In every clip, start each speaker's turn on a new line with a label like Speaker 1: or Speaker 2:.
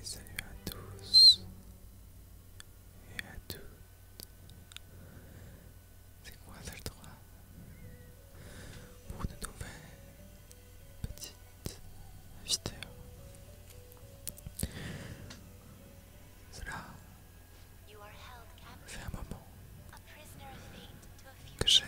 Speaker 1: Et salut à tous et à toutes. C'est quoi le droit pour de nouvelles petites vidéos. Cela fait un moment que j'ai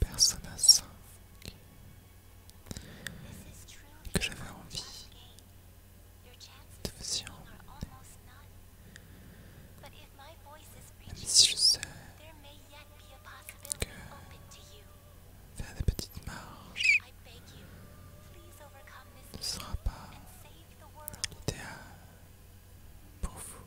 Speaker 1: personne à 5 que j'avais envie de vous y emmener. Même si je sais que faire des petites marches ne sera pas l'idéal pour vous.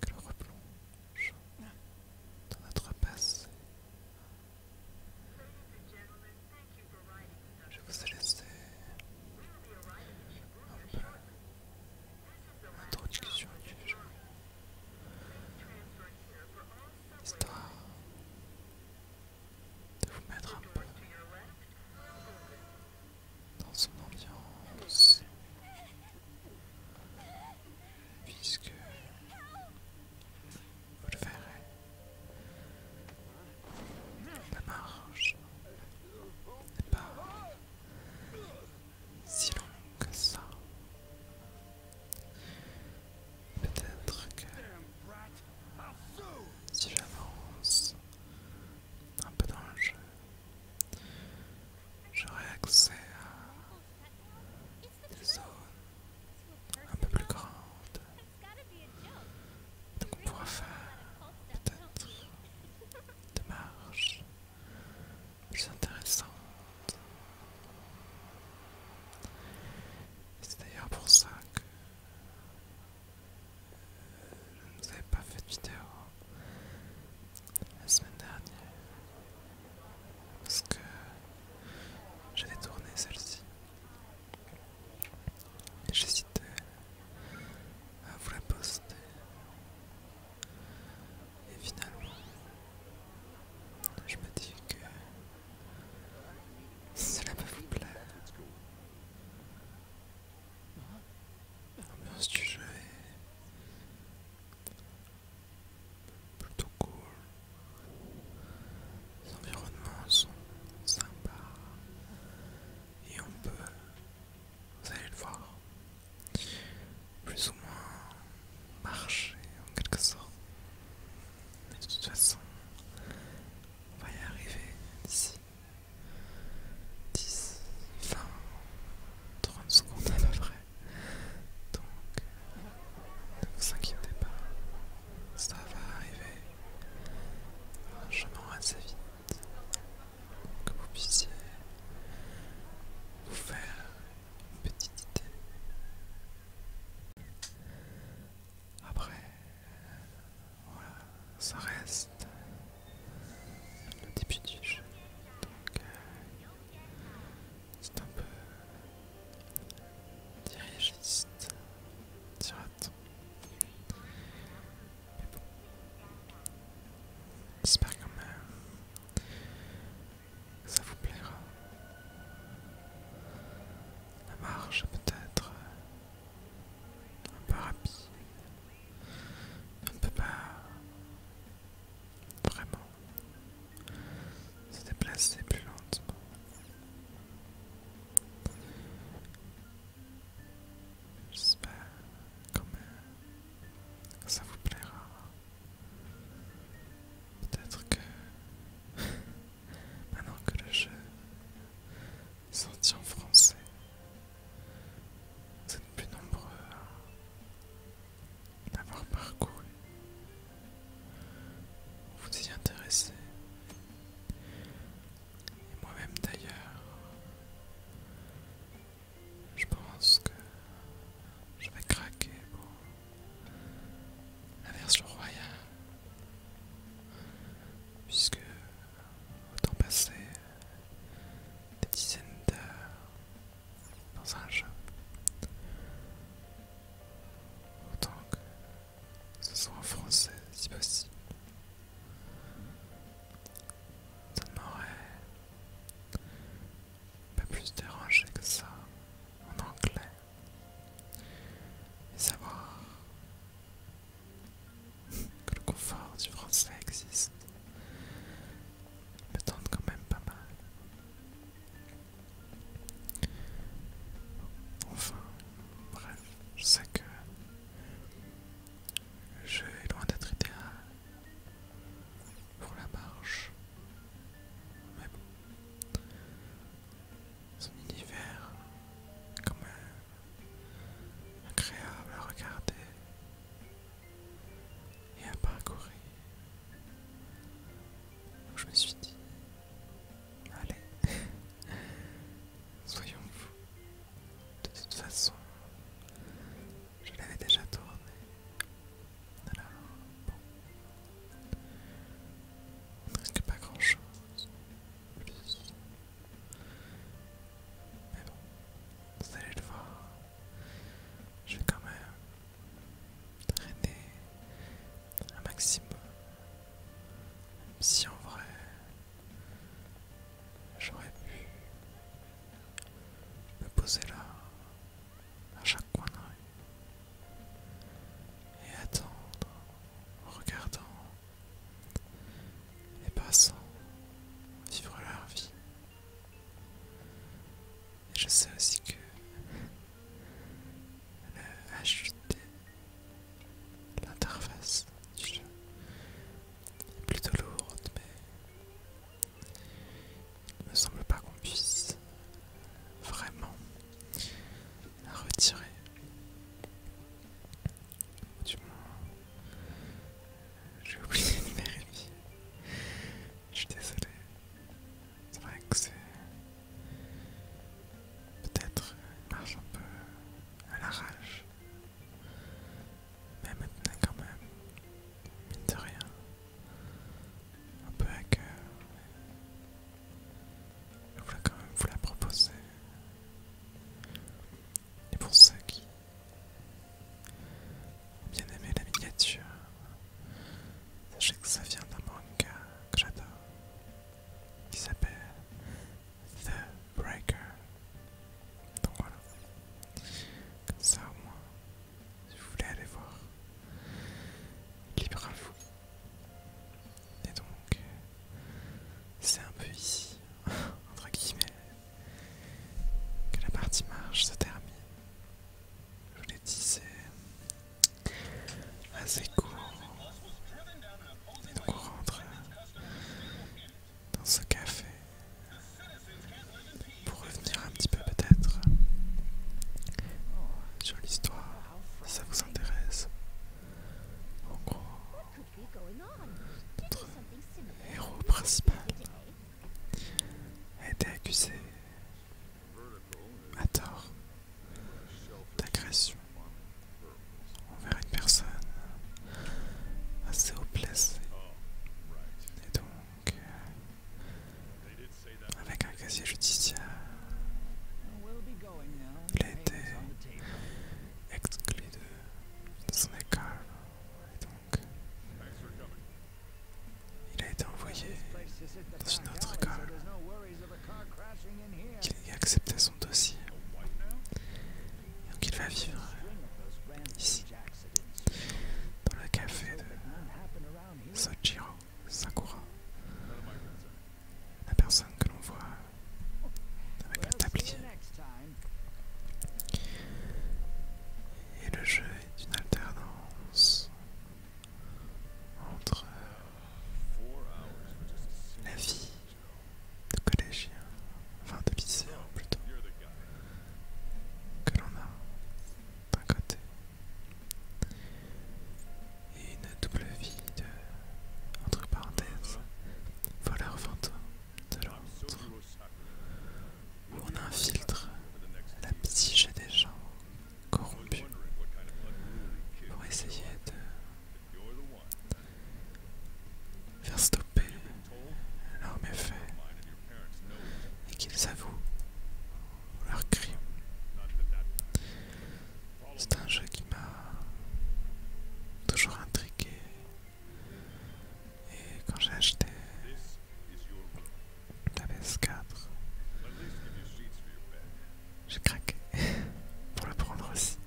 Speaker 1: que l'on replonge dans notre passé. Je vous ai laissé un peu l'introduction du jeu, histoire de vous mettre un peu dans son ambiance puisque vous le verrez la marche n'est pas si longue que ça peut-être que si j'avance un peu dans le accès à des zones un peu plus grandes. Donc on pourra faire peut-être des marches plus intéressantes. C'est d'ailleurs pour ça que je ne vous avais pas fait de vidéo la semaine dernière parce que j'avais tourné celle-ci et j'hésitais à vous la poster et finalement je me dis que cela peut vous plaire L'ambiance du jeu est plutôt cool. Les environnements sont sympas. Et on peut, vous allez le voir, plus ou moins marcher en quelque sorte. Mais de toute façon, on va y arriver d'ici 10, 20, 30 secondes à peu près. Donc, ne vous inquiétez pas, ça va arriver Franchement assez vite que vous puissiez vous faire une petite idée. Après voilà, ça reste le début du jeu. Donc, euh, c'est un peu dirigiste, direct Mais bon, j'espère quand même que ça vous plaira. La marche peut-être un rapide. On ne peut pas vraiment se déplacer plus lentement. J'espère quand même que ça vous plaira. Peut-être que Maintenant que le jeu est sorti en français, vous êtes plus nombreux à l'avoir parcouru, vous y intéresser. Et moi-même d'ailleurs, je pense que je vais craquer pour la version royale puisque autant passer des dizaines d'heures dans un jeu, autant que ce soit en français si possible. Ça ne m'aurait pas plus dérangé que ça en anglais. Et savoir que le confort du français existe me tente quand même pas mal. Enfin, bref, je sais que le jeu est loin d'être idéal pour la marche. Mais bon, son univers comme même agréable à regarder et à parcourir. Donc je me suis dit, allez, soyons fous. De toute façon, je l'avais déjà tourné. bon, risque pas grand chose. Mais bon, vous allez le voir. Je vais quand même traîner un maximum. Même si en vrai, j'aurais pu me poser là à chaque coin de rue et attendre en regardant les passants vivre leur vie. Et je sais aussi que le HUD, l'interface du jeu, est plutôt lourde, mais il ne me semble pas qu'on puisse vraiment à retirer. Du moins, j'ai oublié de vérifier. Je suis désolé. C'est vrai que c'est peut-être une marche un peu à l'arrache. Mais maintenant quand même, mine de rien, un peu à cœur. Je voulais quand même vous la proposer. Et pour ceux qui ont bien aimé la miniature, sachez que ça vient d'un manga que j'adore, qui s'appelle The Breaker. Donc voilà. Comme ça au moins, si vous voulez aller voir, libre à vous. Et donc, c'est un peu ici, entre guillemets, que la partie marche se termine. Je vous l'ai dit, c'est assez court. Et donc, on rentre dans ce café pour revenir un petit peu peut-être sur l'histoire si ça vous intéresse. En héros principal a été accusé à tort d'agression envers une personne assez haut Et donc, euh, avec un casier judiciaire. Il a été exclu de, son école il a été envoyé dans une autre école qui a accepté son dossier. Donc il va vivre ici, dans le café de Sojiro. Sakura, la personne que l'on voit avec le tablier. Et le jeu est une alternance entre la vie de collégien, enfin de lycéen plutôt, que l'on a d'un côté et une double vie de, entre parenthèses, voleur vente de l'autre, où on infiltre la psyché des gens corrompus pour essayer de faire stopper leurs méfaits et qu'ils avouent leur crime. C'est un jeu qui m'a toujours intrigué. Et quand j'ai acheté la PS4, j'ai craqué pour le prendre aussi.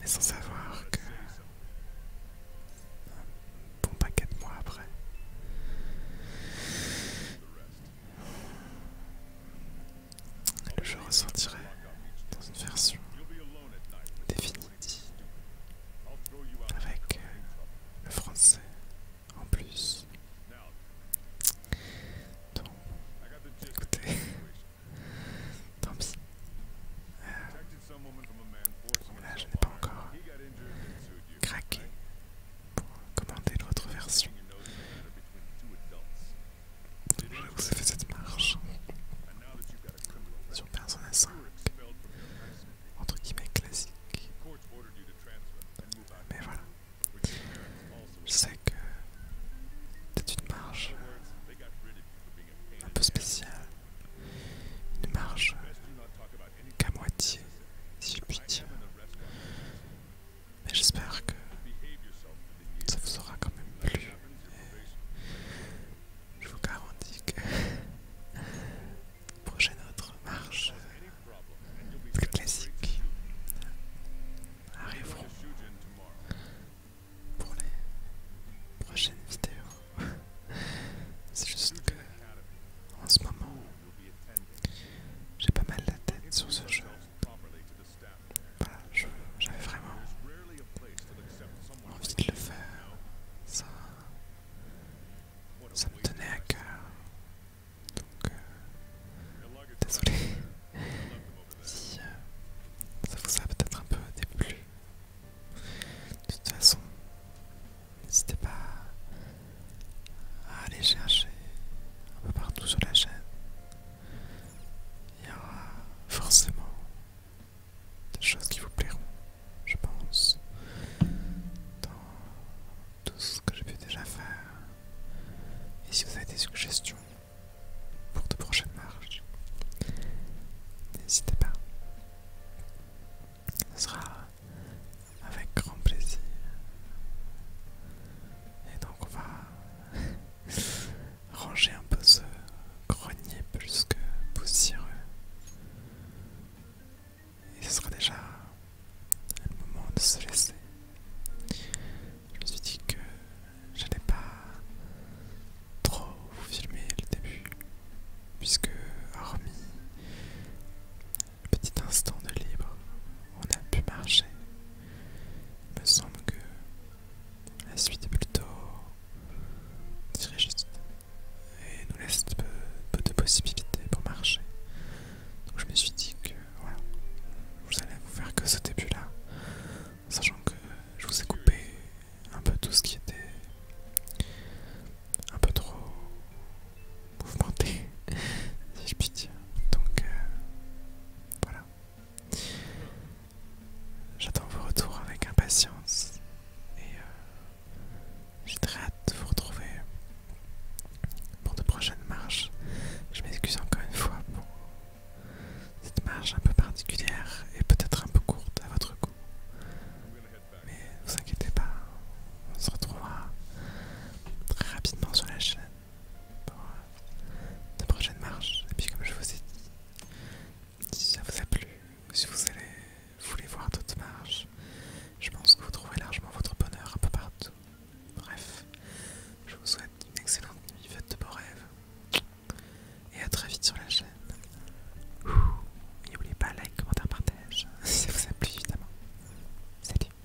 Speaker 1: Mais sans savoir que un bon paquet de mois après, le jeu ressortirait dans une version définitive avec euh, le français en plus. Donc, écoutez, tant pis. Euh, là, je n'ai pas encore craqué pour commander l'autre version. vous ai fait cette marge sur Persona 5, entre guillemets classique. Mais voilà, je sais que c'est une marge un peu spéciale, une marge qu'à moitié, si je puis Mais j'espère que ça vous aura quand même plu. je vous garantis que prochaine autre marche plus classique arriveront pour les prochaines vidéos. C'est juste que en ce moment j'ai pas mal la tête sur ce jeu. Voilà, j'avais vraiment envie de le faire. Ça, ça me tenait à cœur. Donc, euh, désolé si euh, ça vous a peut-être un peu déplu. De toute façon, n'hésitez pas à aller chercher un peu partout sur la chaîne. Il y aura forcément des choses qui vous plairont, je pense, dans tout ce que j'ai pu déjà faire. Et si vous avez des suggestions pour de prochaines marches, n'hésitez pas. Ce sera avec grand plaisir. Et donc on va ranger un peu ce grenier plus que poussiéreux. Et ce sera déjà le moment de se laisser. Je me suis dit que je j'allais pas trop vous filmer le début puisque hormis petit instant de libre, on a pu marcher. Il me semble que la suite est plutôt juste et nous laisse peu, peu de possibilités pour marcher. Donc je me suis dit que voilà, vous allez vous faire que ce début-là, sachant que je vous ai coupé un peu tout ce qui était un peu trop mouvementé, si je puis dire. Donc euh, voilà. J'attends vos retours avec impatience et euh, j'ai très hâte de vous retrouver pour de prochaines marches. Je m'excuse encore une fois pour cette marche un peu particulière et peut-être un peu courte à votre goût. Mais ne vous inquiétez pas, on se retrouvera très rapidement sur la chaîne pour de euh, prochaines marches. Et puis comme je vous ai dit, si ça vous a plu, si vous voulez voir d'autres marches, je pense que vous trouverez largement votre bonheur un peu partout. Bref, je vous souhaite une excellente nuit, faites de beaux rêves. Et à très vite sur la chaîne chaîne. N'oubliez pas, like, commentaire, partage, si ça vous a plu évidemment. Salut